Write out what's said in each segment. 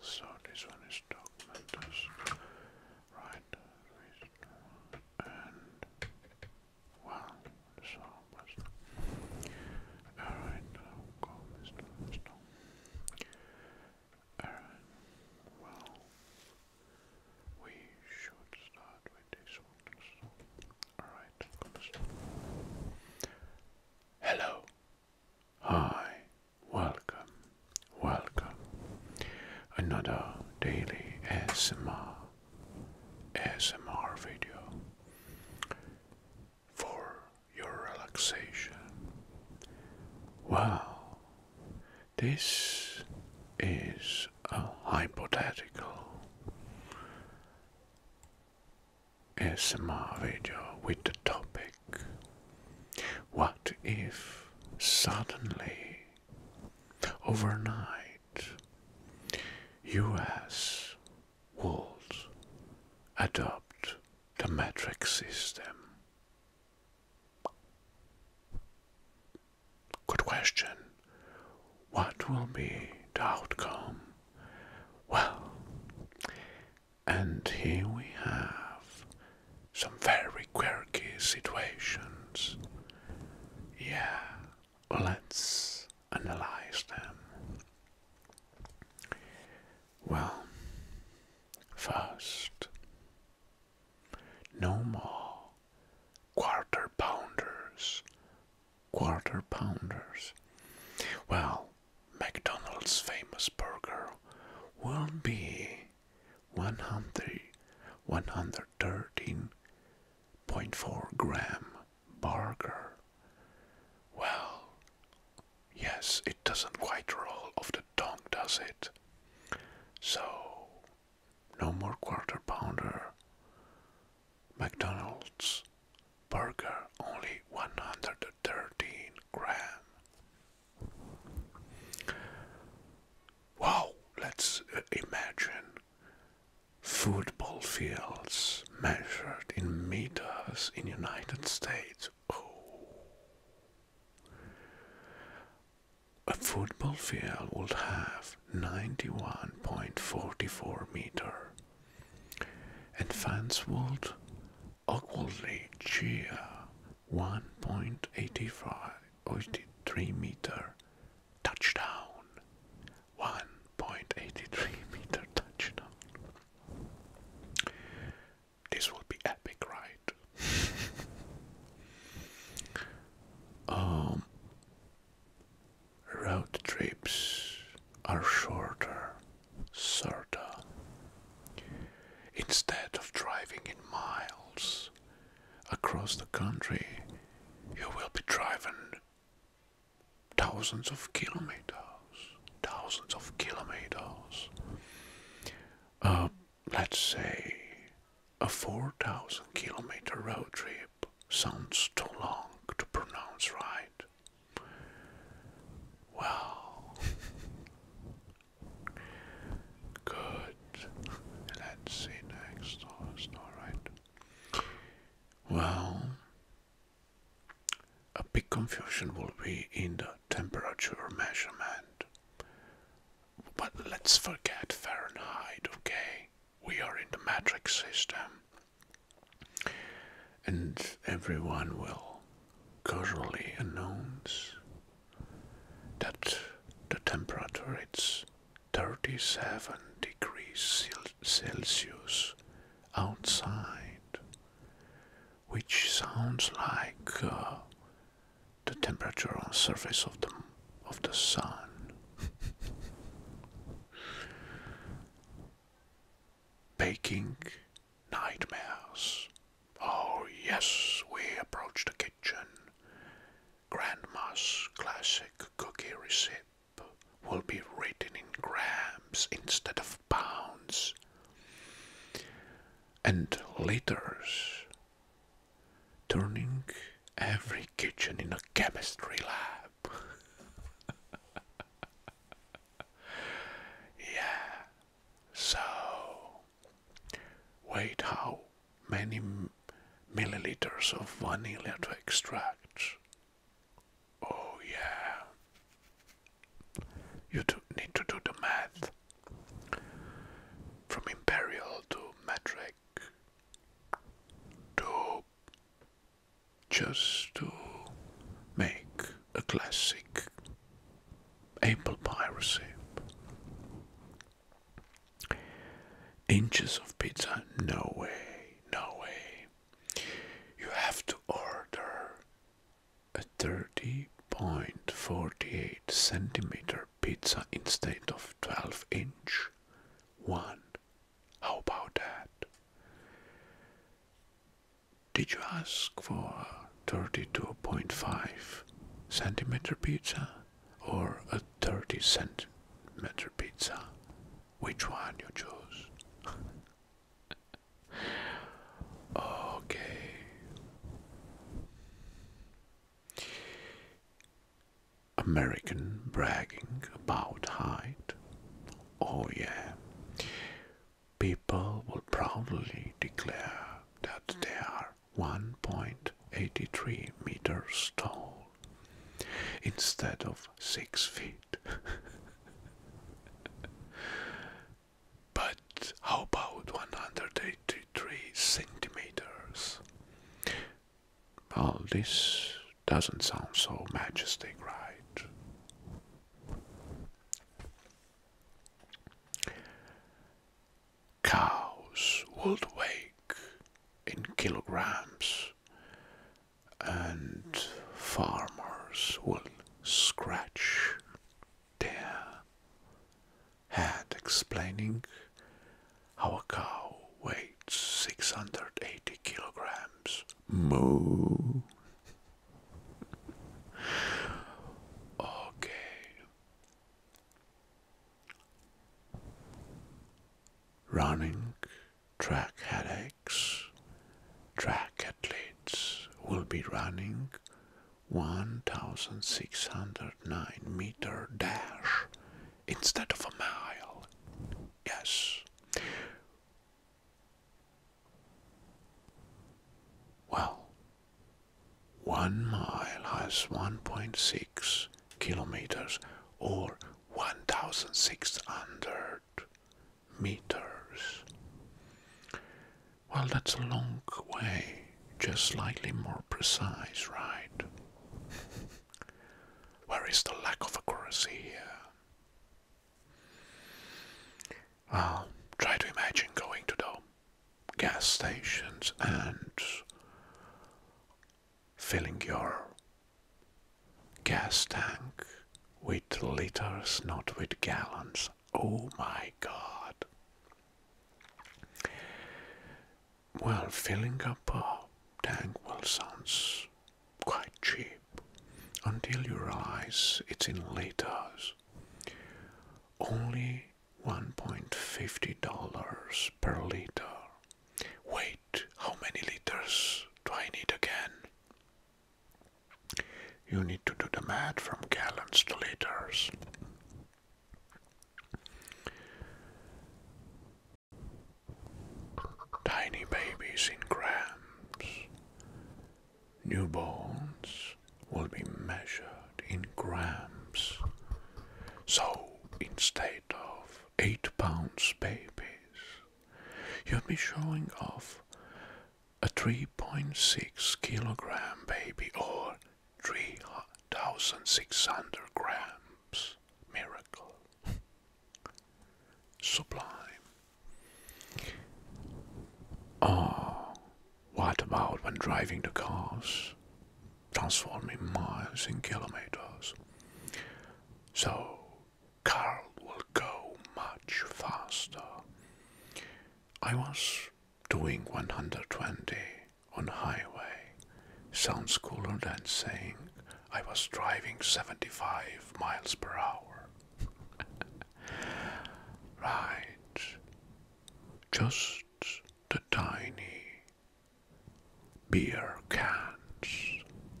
So this one is Dogmentus, right? And well, so but alright, go Mr. Stone. Alright, well, we should start with this one. So. Alright, Hello, Hi, welcome, welcome. Another daily ASMR, video for your relaxation. Wow, this is a hypothetical ASMR video with the topic What if suddenly, overnight, US would adopt the metric system? Good question. What will be the outcome? Well, and here we have some very quirky situations. Yeah, let's analyze them. Well, first, no more quarter pounders. Quarter pounders. Well, McDonald's famous burger will be 100, 113.4 gram burger. Well, yes, it doesn't quite roll off the tongue, does it? So, no more quarter pounder. McDonald's burger only 113 gram. Wow, let's uh, imagine football fields measured in meters in United States. Oh. A football field would have 91.44 meter and fans would awkwardly cheer 1.83 meter touchdown 1.83 meter touchdown this will be epic right um road trips are shorter, shorter. Instead of driving in miles across the country, you will be driving thousands of kilometers, thousands of kilometers. Uh, let's say a 4,000 kilometer road trip sounds too long to pronounce right. Well, good. Let's see next alright. Oh, well, a big confusion will be in the temperature measurement. But let's forget Fahrenheit, okay? We are in the metric system and everyone will casually announce that the temperature is 37 degrees Celsius outside, which sounds like uh, the temperature on the surface of the of the sun. baking nightmares. Oh, yes, we approach the kitchen. Grandma's classic cookie recipe will be written in grams instead of pounds and liters, turning every kitchen in a chemistry lab. yeah. So, wait, how many milliliters of vanilla to extract? Oh, yeah. You need to do the math. From imperial to metric to just to make a classic apple pie recipe. Inches of pizza? No way, no way. You have to order a 30.48 centimeter pizza instead of 12 inch. One how about that? Did you ask for a 32.5 centimeter pizza or a 30 centimeter pizza? Which one you chose? okay. American bragging about height. Oh, yeah. People will proudly declare that they are 1.83 meters tall instead of 6 feet. but how about 183 centimeters? Well, this doesn't sound so majestic, right? Cows would wake in kilograms, and farmers will scratch their head explaining our cow weighs 680 kilograms. Moo. okay. Running track headaches. Track athletes will be running 1609 meter dash instead of a mile. Yes. Well, one mile has 1.6 kilometers or 1,600 meters. Well, that's a long way, just slightly more precise, right? Where is the lack of accuracy here? Uh, try to imagine going to the gas stations and filling your gas tank with liters, not with gallons. Oh my god. Well, filling up a tank well sounds quite cheap until you realize it's in liters. Only $1.50 per liter. Wait, how many liters do I need again? You need to do the math from gallons to liters. Tiny babies in grams, newborns will be measured in grams. So, instead of 8 pounds babies, you'll be showing off a 3.6 kilogram baby or 3,600 grams. Miracle. Sublime. Oh, what about when driving the cars? Transforming miles in kilometers. So, Carl will go much faster. I was doing 120 on highway sounds cooler than saying I was driving 75 miles per hour. right. Just the tiny beer cans.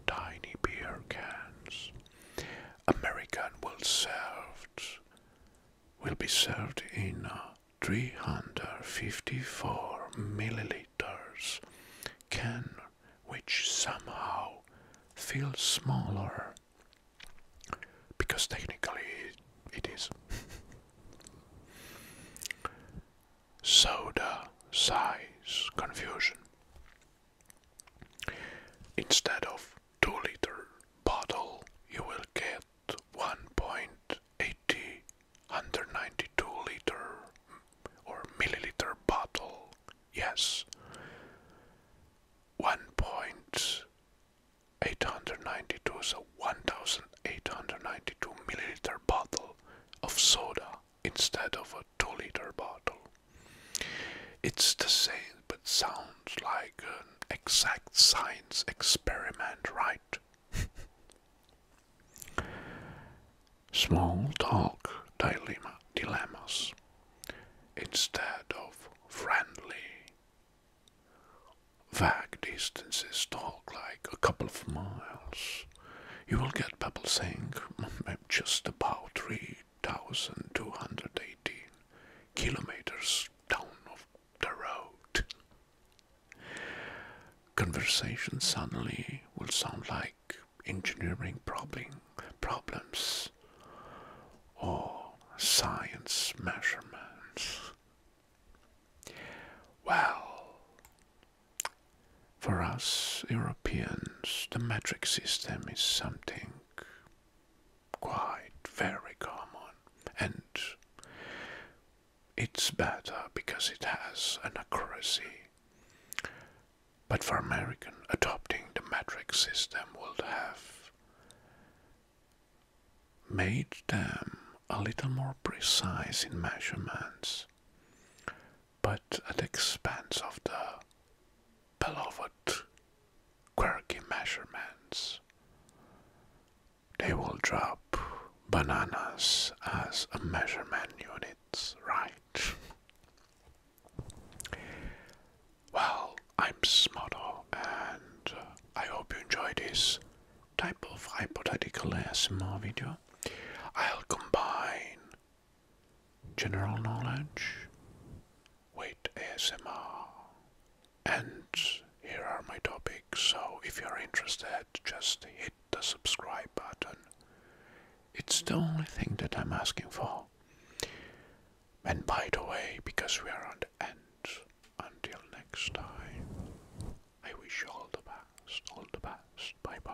Tiny beer cans. American will served will be served in uh, 354 milliliters can which somehow feels smaller because technically it is soda size confusion instead of 2 liter bottle you will get 1.80 192 liter or milliliter bottle. Yes. 1.892 so 1892 milliliter bottle of soda instead of a 2 liter bottle. It's the same but sounds like an exact science experiment, right? Small talk dilemma, dilemmas instead of friendly. Vague distances talk like a couple of miles. You will get people saying I'm mm, just about 3,218 kilometers down of the road. Conversation suddenly will sound like engineering problem, problems or science measurements. Well, for us Europeans, the metric system is something quite very common and it's better because it has an accuracy. But for American, adopting the metric system would have made them a little more precise in measurements, but at the expense of the beloved quirky measurements. They will drop bananas as a measurement unit, right? well, I'm Smotto, and uh, I hope you enjoy this type of hypothetical ASMR video. I'll combine general knowledge Wait ASMR. And here are my topics, so if you're interested, just hit the subscribe button. It's the only thing that I'm asking for. And by the way, because we are on the end, until next time, I wish all the best, all the best, bye bye.